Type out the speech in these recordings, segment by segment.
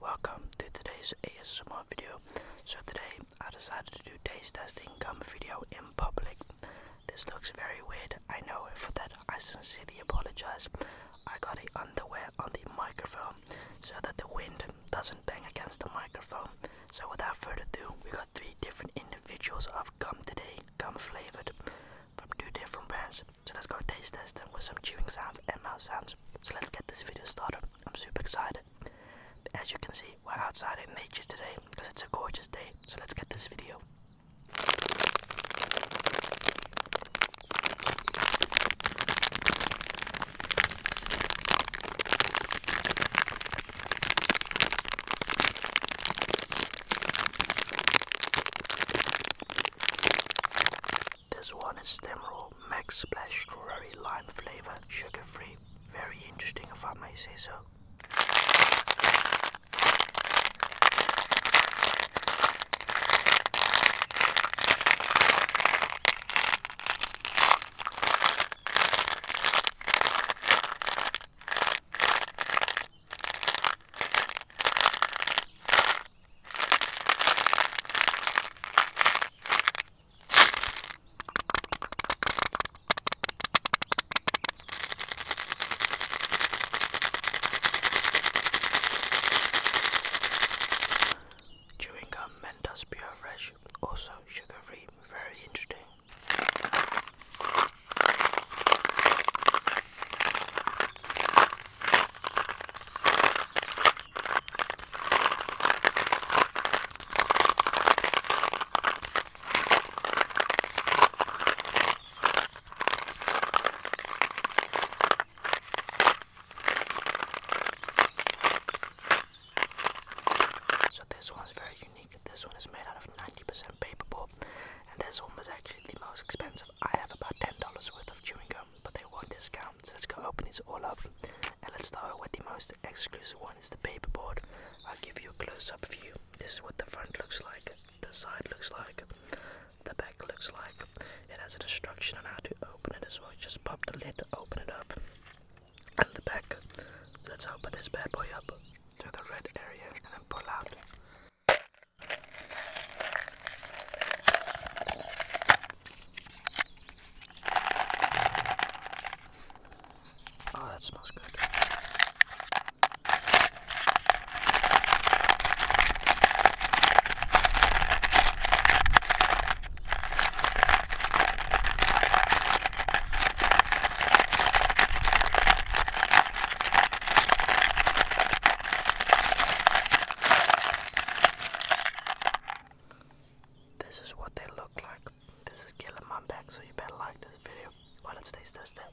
Welcome to today's ASMR video. So today I decided to do taste testing gum video in public. This looks very weird, I know, for that I sincerely apologize. I got it underwear on the microphone so that the wind doesn't bang against the microphone. So without further ado, we got three different individuals of gum today, gum flavored, from two different brands. So let's go taste test them with some chewing sounds and mouth sounds. So let's get this video started. I'm super excited. As you can see, we're outside in nature today because it's a gorgeous day. So let's get this video. This one is Stemroll Max Splash Strawberry Lime Flavor, sugar free. Very interesting if I may say so. Chewing gum Mentos Pure Fresh, also sugar free, very interesting. So this one's very unique. This one is made out of 90% paperboard, and this one was actually the most expensive. I have about $10 worth of chewing gum. Um, but they won't discount. So let's go open this all up and let's start with the most exclusive one is the paperboard. I'll give you a close-up view. This is what the front looks like, the side looks like, the back looks like. It has a instruction on how to open it as well. just pop the lid, open it up, and the back. Let's open this bad boy up to the red area and then pull out. Oh, that smells good. This is what they look like. This is killing my back, so you better like this video. Well, let's this then.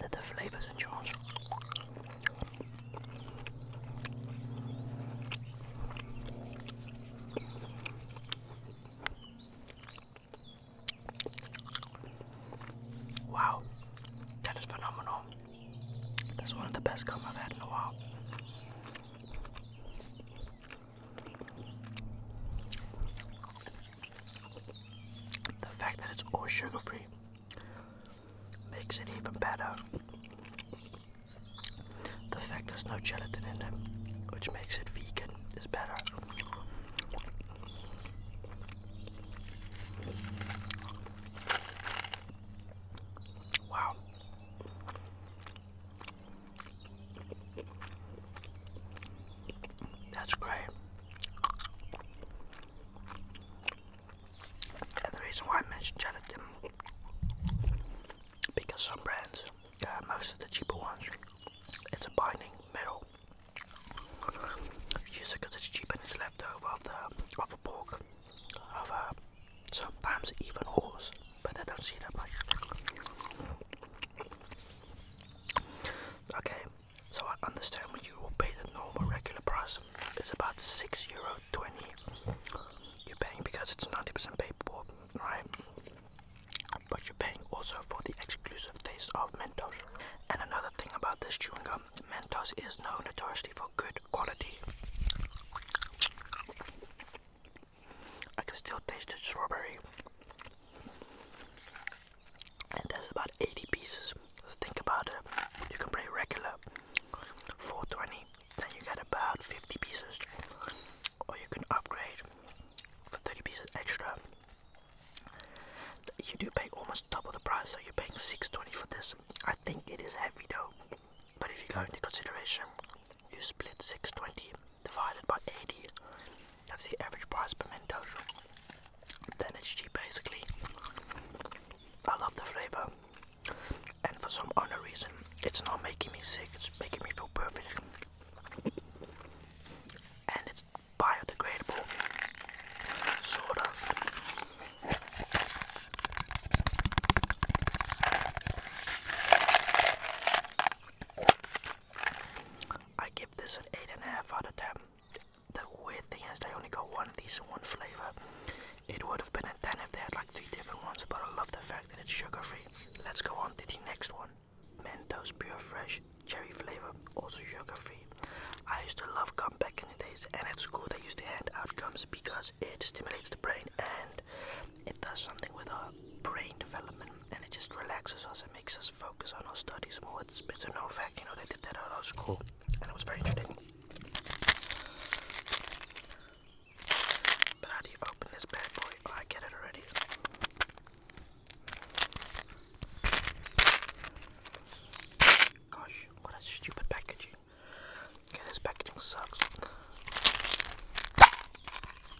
Let the flavors a Wow, that is phenomenal. That's one of the best gum I've had in a while. The fact that it's all sugar free makes it even better. The fact there's no gelatin in it, which makes it vegan, is better. Wow. That's great. And the reason why I mentioned gelatin because some brands, most of the cheaper ones, it's a binding metal. Use it because it's cheap and it's left of the of a pork, of a sometimes even horse but I don't see that much. Okay, so I understand when you will pay the normal regular price, it's about six euro twenty. You're paying because it's ninety percent paper, right? But you're paying also for the exclusive taste of Mentos. And another thing about this chewing gum, Mentos is known notoriously for good quality. I can still taste the strawberry. And that's about 80 pieces. think about it. You can play regular 420, then you get about 50 pieces. Or you can upgrade for 30 pieces extra. You do pay almost double the price, so you're paying 620 for this. I think it is heavy though. But if you go into consideration you split 620 divided by 80, that's the average price per Mentos, then it's cheap basically. I love the flavor, and for some other reason, it's not making me sick, it's making me feel perfect. And it's biodegradable, sort of. I give this an 8.5 out of 10. The weird thing is they only got one of decent one flavor. It would have been a 10 if they had like three different ones, but I love the fact that it's sugar free. Let's go on to the next one. Mentos Pure Fresh Cherry Flavor, also sugar free. I used to love gum back in the days, and at school they used to hand out gums because it stimulates the brain and it does something with our brain development and it just relaxes us and makes us focus on our studies more. It's, a no fact, you know, they did that at our school and it was very interesting. But how do you open this bad boy? Oh, I get it already. Gosh, what a stupid packaging. this packaging sucks.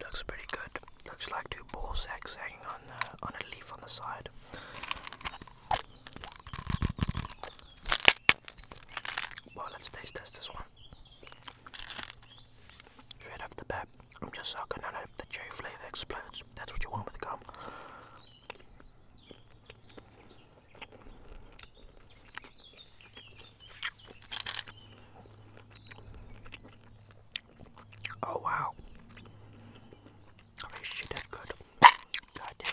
Looks pretty good. Looks like two ball sacks hanging on uh, on a leaf on the side. Well, let's taste test this one. Straight off the bat, I'm just sucking on it. The cherry flavor explodes. That's what you want with gum. Oh wow. Holy shit, that's good. God it.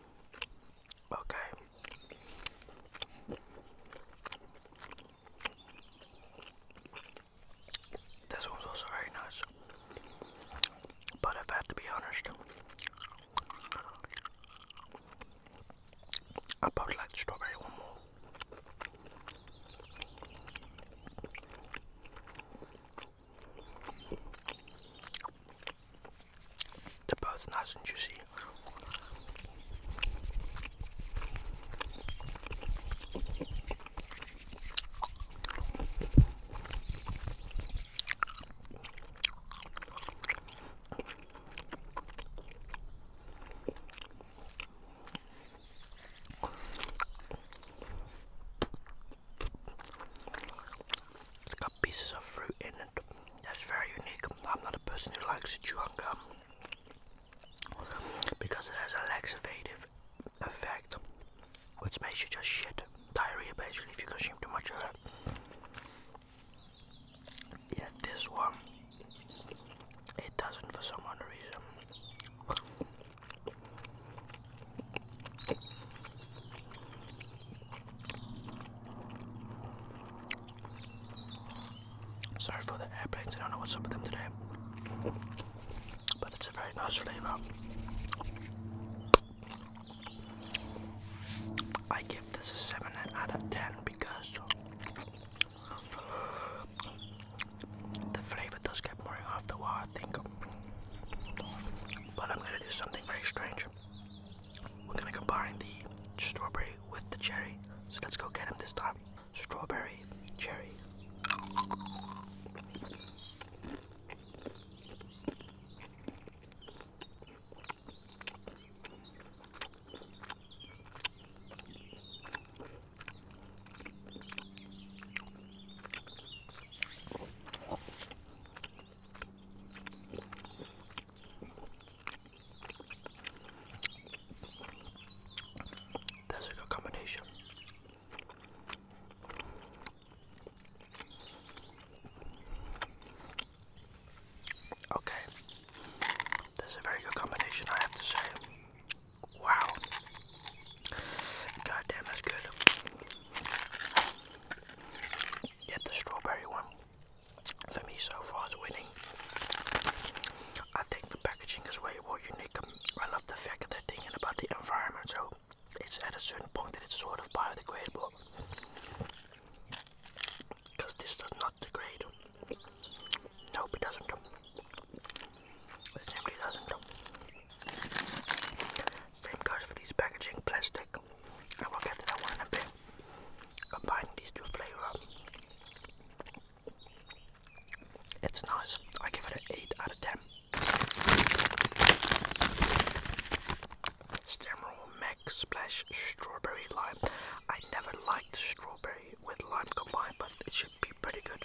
Okay. This one's also very nice. But if I to be honest, I probably like the strawberry one more. They're both nice and juicy. It's got pieces of fruit in it. That's very unique. I'm not a person who likes chew on gum because it has a laxative effect, which makes you just shit diarrhea basically if you consume too much of it. Yeah, this one, it doesn't for some other reason. Sorry for the airplanes, I don't know what's up with them today. But it's a very nice flavor. I give this a 7 out of 10 because the flavor does get boring after a while, I think. But I'm gonna do something very strange. We're gonna combine the strawberry with the cherry. So let's go get him this time. Strawberry, cherry. That's a good combination. Okay, that's a very good combination, I have to say. Wow, God damn, that's good. Yet the strawberry one, for me so far, is winning. I think the packaging is way more unique. Um, I love the fact that they're thinking about the environment, so it's at a certain point that it's sort of biodegradable. Because this does not degrade. Nope, it doesn't. It simply doesn't. Same goes for these packaging plastic. I will get to that one in a bit. Combining these two flavors. It's nice. I give it an 8 out of 10. Stemroll Max Splash Strawberry Lime. I never liked strawberry with lime combined, but it should be pretty good.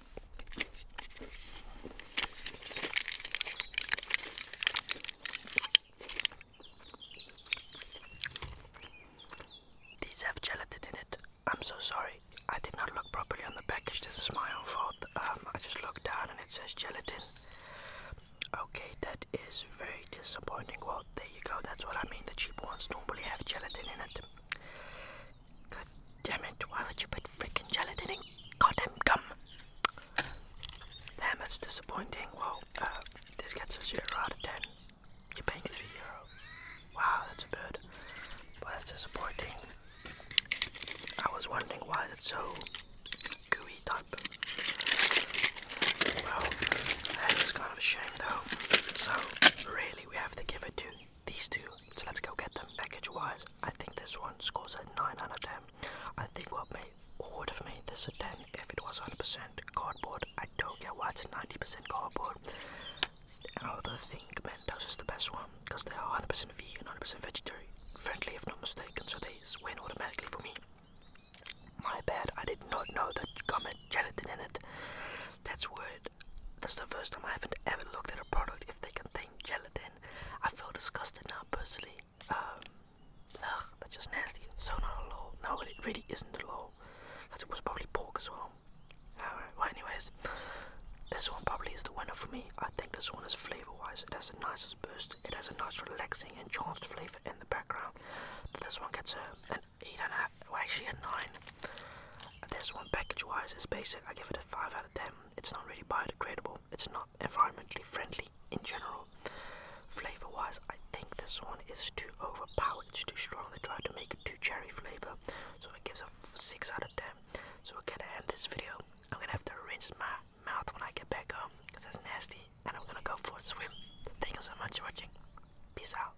These have gelatin in it. I'm so sorry. I did not look properly on the package. This is my own fault. Um, I just looked down and it says gelatin. Okay, that is very disappointing. Well, there you go. That's what I mean. The cheap ones normally have gelatin in it. God damn it, why would you put freaking gelatin in goddamn gum? Damn, it's disappointing. Well, uh, this gets a 0 out of 10. You're paying 3 euro. Wow, that's a bird. Well, that's disappointing. I was wondering why is it so gooey type. Well, that is kind of a shame though. So, really, we have to give it to these two. So let's go get them. Package wise, I think this one scores a 9 out of 10. I think what made would have made this a 10 if it was 100% cardboard. I don't get why it's 90% cardboard. I although I think those is the best one because they are 100% vegan, 100% vegetarian friendly if not mistaken, so they win automatically for me. My bad, I did not know that gum had gelatin in it. That's weird. That's the first time I haven't ever looked at a product if they contain gelatin. I feel disgusted now personally. Um, ugh, that's just nasty. So not a law. No, it really isn't a law. Because it was probably pork as well. Alright, well anyways. This one probably is the winner for me. I think this one is flavor-wise. It has the nicest burst. It has a nice relaxing and chanced flavor in the background. this one gets a, a eight and a half, well, actually a nine. This one, package-wise, is basic. I give it a five out of ten. It's not really biodegradable. It's not environmentally friendly in general. Flavor-wise, I think this one is too overpowered. It's too strong. They tried to make it too cherry flavor, so it gives a six out of ten. So we're gonna end this video. I'm gonna have to rinse my mouth when I get back home because it's nasty, and I'm gonna go for a swim. Thank you so much for watching. Peace out.